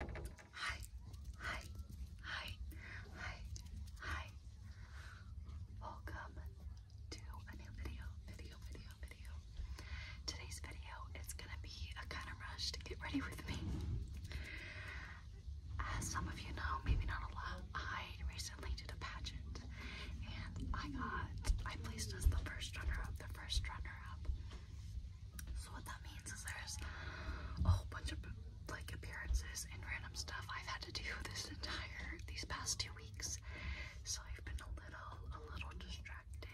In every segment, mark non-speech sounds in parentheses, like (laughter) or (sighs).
Hi, hi, hi, hi, hi. Welcome to a new video, video, video, video. Today's video is gonna be a kind of rush to get ready with me. As some of you know, maybe not a lot, I recently did a pageant and I got, I placed as the first runner up, the first runner up. So what that means is there's a whole bunch of like appearances and random stuff I've had to do this entire these past two weeks. So I've been a little a little distracted.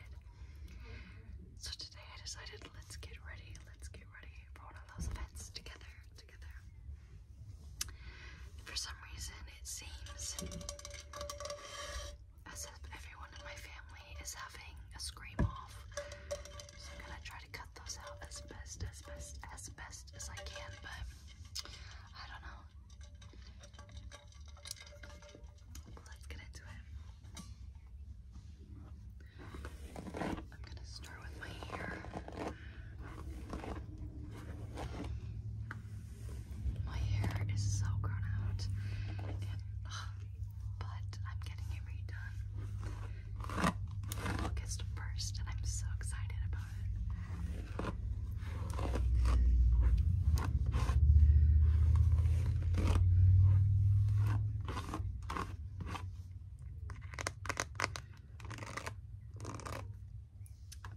So today I decided let's get ready, let's get ready for one of those events together, together. For some reason it seems as if everyone in my family is having a scream off I'm gonna try to cut those out as best, as best, as best as I can, but I don't know. Let's get into it. I'm gonna start with my hair. My hair is so grown out but I'm getting it redone August 1st, and I'm so excited about it.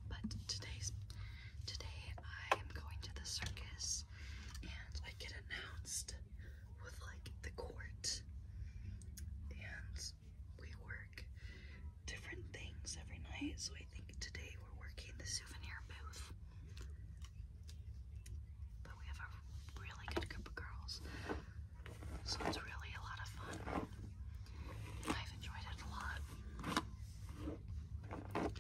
But today's today I am going to the circus and I get announced with like the court and we work different things every night so I think today we're working the souvenir booth but we have a really good group of girls so it's really a lot of fun I've enjoyed it a lot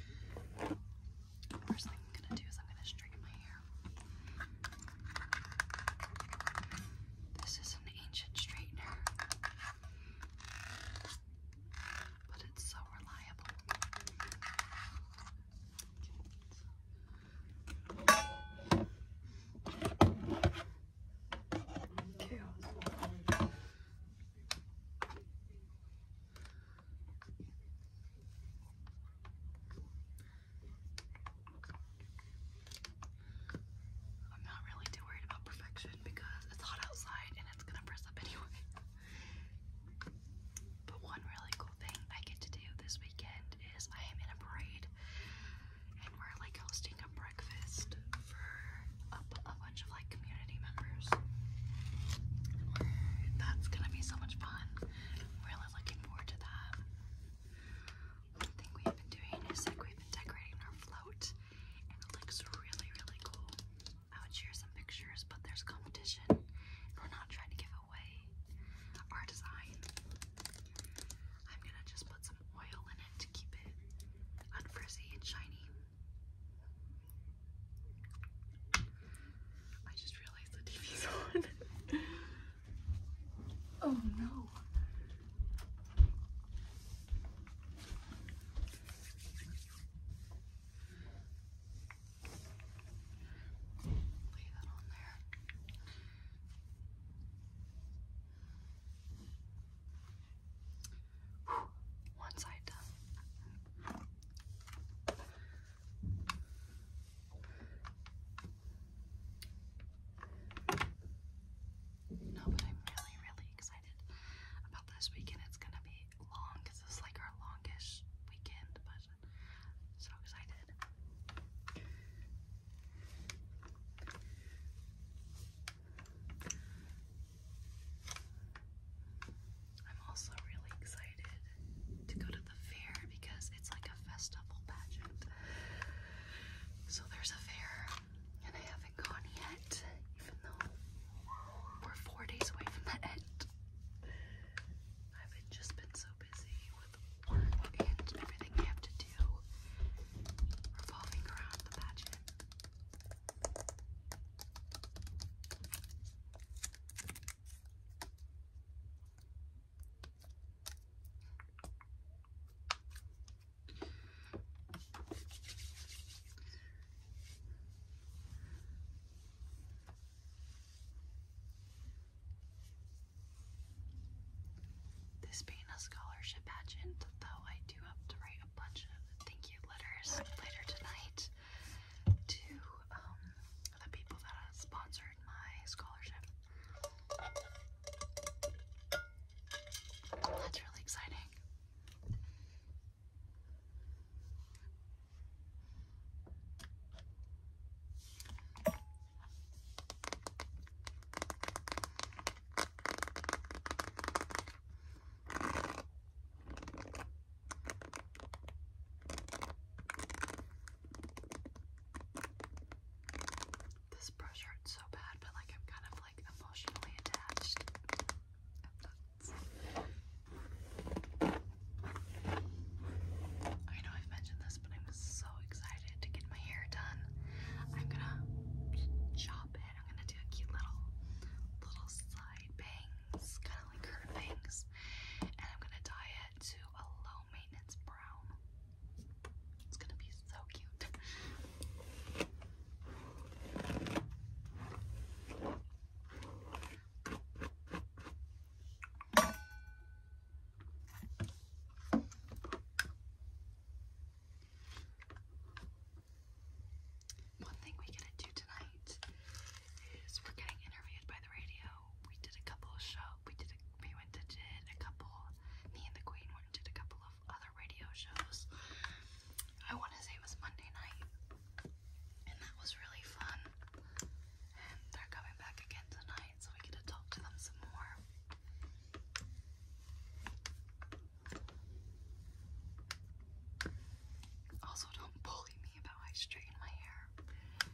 First thing I'm gonna do is I'm gonna straighten my hair. This is an ancient straightener, but it's so reliable. Okay. I'm not really too worried about perfection because it's hot outside and it's gonna press up (laughs) anyway. But one really cool thing I get to do this weekend is I am in a parade and we're like hosting a breakfast for a, bunch of like community members. That's gonna be so much fun. we looking forward to that. One thing we have been doing is like we've been decorating our float, and it looks really, really cool. I would share some pictures, but there's competition, and we're not trying to give away our design. I'm gonna just put some oil in it to keep it unfrizzy and shiny. I just realized the TV's on. (laughs) oh no. Lay that on there. Whew. One done. No, but I'm really, really excited about this weekend. It's gonna be long because it's like our longest weekend, but so excited. I'm also really excited to go to the fair because it's like a festival pageant. So there's a fair, and I haven't gone yet, even though we're four days away from the end. I've just been so busy with work and everything I have to do revolving around the pageant. This being a scholarship pageant, though I do have to write a bunch of thank you letters later tonight to um, the people that sponsored my scholarship. That's really exciting. This brush hurts so bad, but like I'm kind of like emotionally attached. I know I've mentioned this, but I'm so excited to get my hair done. I'm gonna chop it. I'm gonna do a cute little, little side bangs, kind of like curved bangs, and I'm gonna dye to a low maintenance brown. It's gonna be so cute. One thing we get to do tonight is we're getting interviewed by the radio we did a couple of shows. We did. A, we went to did a couple. Me and the Queen went to did a couple of other radio shows. I want to say it was Monday night, and that was really fun. And they're coming back again tonight, so we get to talk to them some more. Also, don't bully me about I straighten my hair.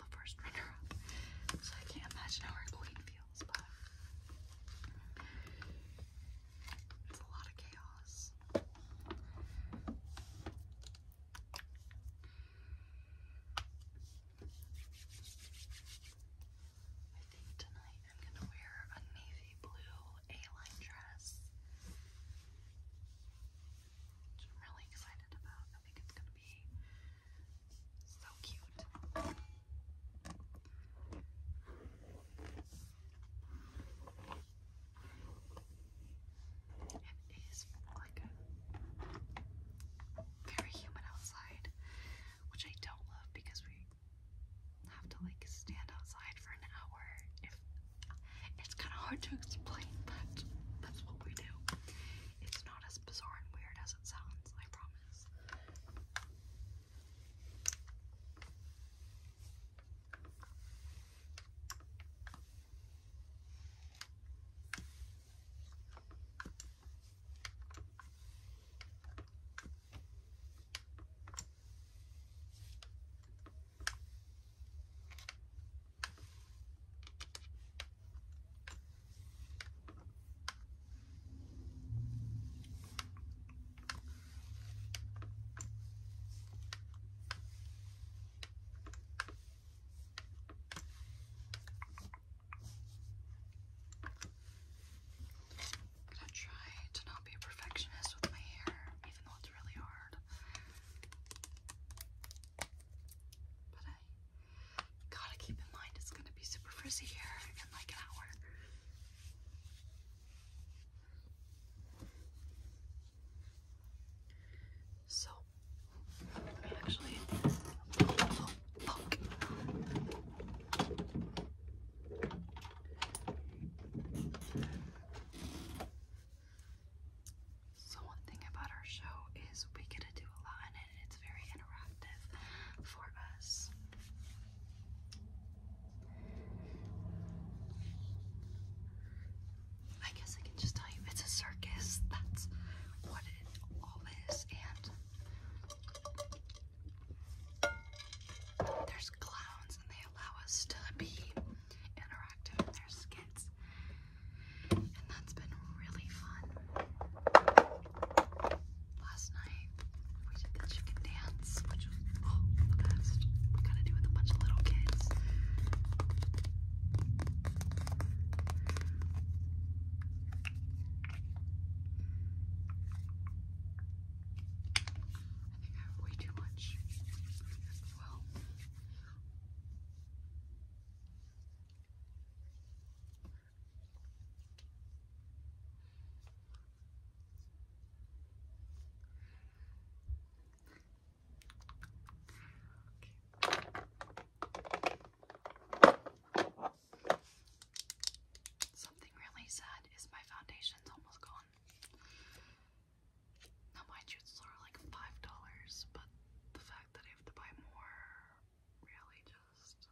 the first runner-up, so I can't imagine how our queen feels, but it's a lot of chaos. I think tonight I'm gonna wear a navy blue A-line dress. I'm really excited about. I think it's gonna be so cute. It is like very humid outside, which I don't love because we have to like stand outside for an hour. If it's kind of hard to explain, but that's what we do. It's not as bizarre and weird as it sounds, I promise. I'm gonna try to not be a perfectionist with my hair, even though it's really hard. But I Gotta keep in mind it's gonna be super frizzy here in like an hour. So actually so one thing about our show is we get to do a lot and it's very interactive for us. I guess I can just tell you it's a circus. That's what all is. And there's clowns and they allow us to be interactive in skits and that's been really fun. Last night we did the chicken dance, which was oh, the best. We gotta do with a bunch of little kids. I think I have way too much. Okay. Something really sad is my foundation's almost gone. Now mind you, it's sort like $5, but the fact that I have to buy more really just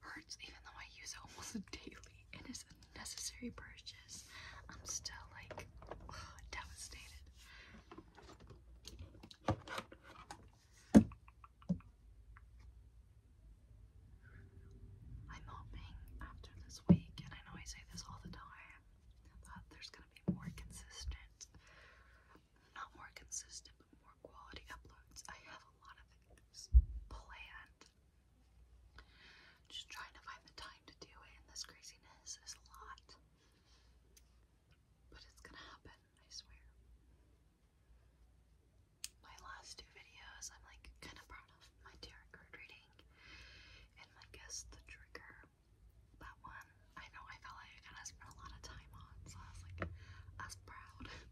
hurts, even though I use it almost (laughs) daily. It is a necessary purchase. I'm still like (sighs) devastated. I'm hoping after this week, and I know I say this all the time, that there's gonna be more consistent not more consistent, but more quality uploads. I have a lot of things planned. Just trying to find the time to do it, and this craziness is a lot. But it's gonna happen, I swear. My last two videos, I'm like kind of proud of my tarot card reading, and I guess the trigger that one, I know I felt like I kind of spent a lot of time on, so I was like, I was proud. Okay.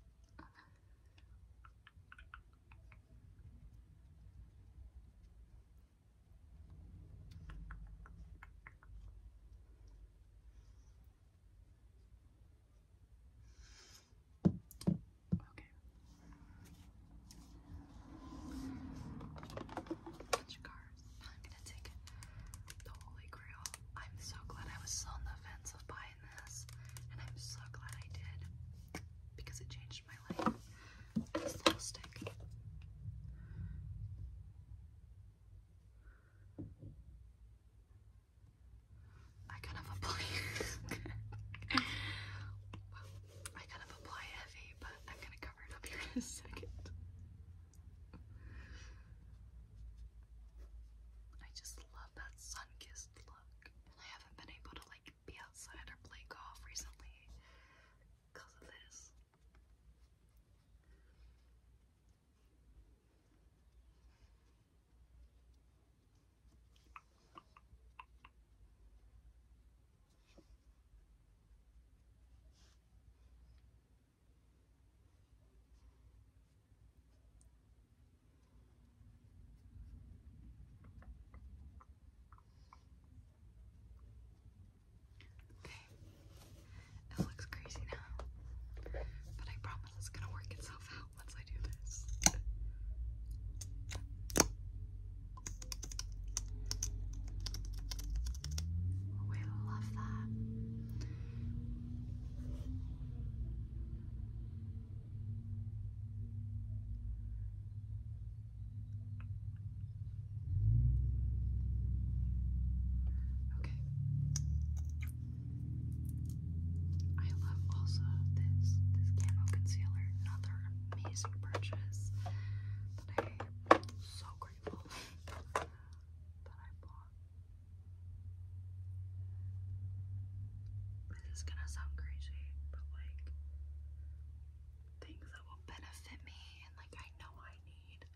Bunch of I'm gonna take the Holy Grail. I'm so glad I was on the fence of buying this, and I'm so glad I did because it changed my life. This little stick. I kind of apply (laughs) I kind of apply heavy, but I'm gonna cover it up here in a second. I just love that sun-kissed look, and I haven't been able to like be outside or play golf recently because of this. Okay. It looks crazy now. But I promise it's gonna work itself out once I do this. Oh, love that. Okay. I love also this this camo concealer, another amazing purchase that I am so grateful (laughs) that I bought. This is gonna sound crazy, but like things that will benefit me and like I know I need,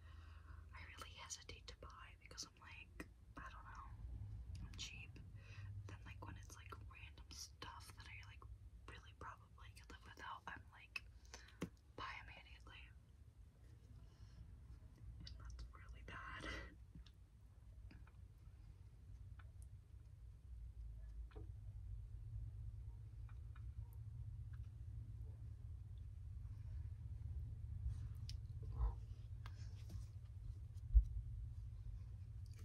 I really hesitate to buy because I'm like, I don't know, I'm cheap. Then like when it's like random stuff that I like really probably could live without, I'm like, buy immediately. that's really bad.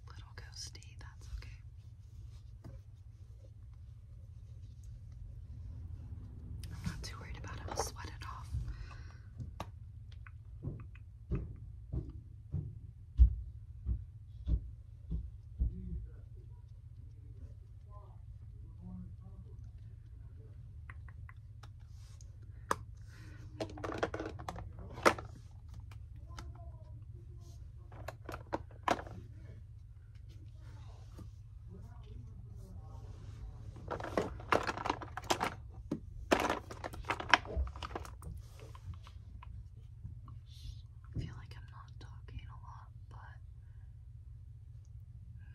Little ghosty, that's okay. I'm not too worried about it. I'll sweat it off. I feel like I'm not talking a lot, but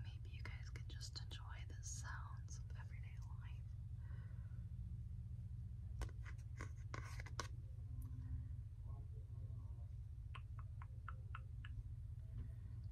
maybe you guys can just enjoy the sounds of everyday life.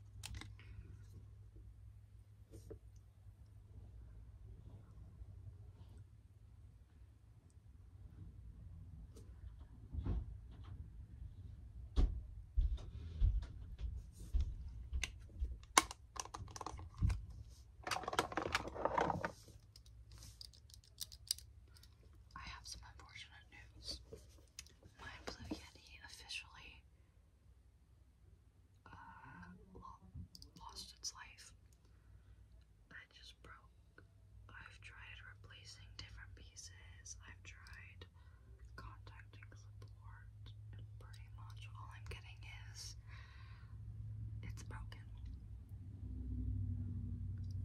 I have some unfortunate news. My Blue Yeti officially uh, lost its life. I just broke. I've tried replacing different pieces. I've tried contacting support, pretty much all I'm getting is it's broken.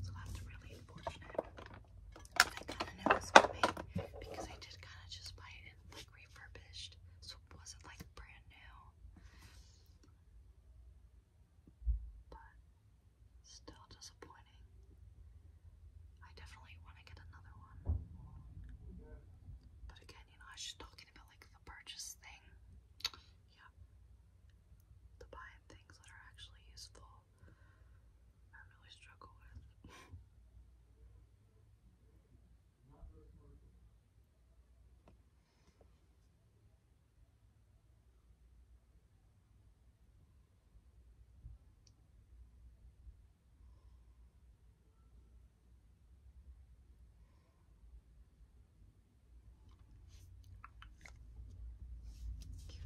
So that's really unfortunate. I kind of knew was coming because I did kind of just buy it like refurbished, so it wasn't like brand new. But still disappointing. I definitely want to get another one. But again, you know, I was just talking about like the purchase thing. Yeah. The buying things that are actually useful. I really struggle with.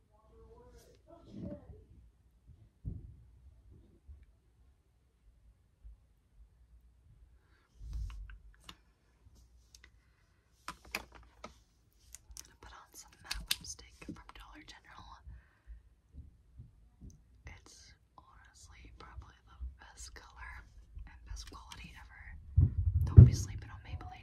gonna put on some matte lipstick from Dollar General. It's honestly probably the best color and best quality ever. Don't be sleeping on Maybelline.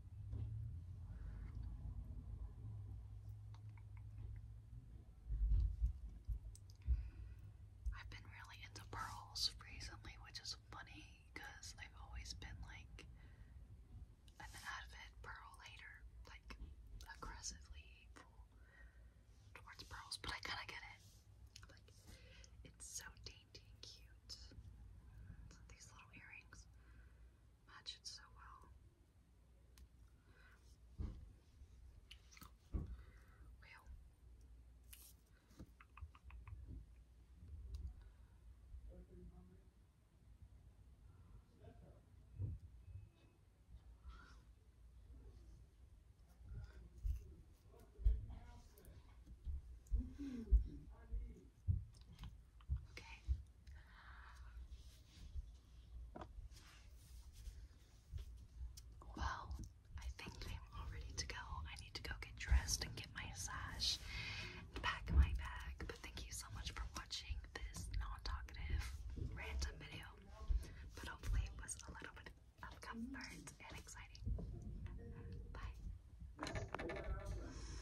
I've been really into pearls recently, which is funny because I've always been like an avid pearl later, like aggressively hateful towards pearls, but I kind of get it. Like, it's so dainty and cute. These little earrings match it so well. Okay. Well, I think I'm all ready to go. I need to go get dressed and get my massage pack my bag. But thank you so much for watching this non-talkative random video. But hopefully it was a little bit of comfort and exciting. Bye.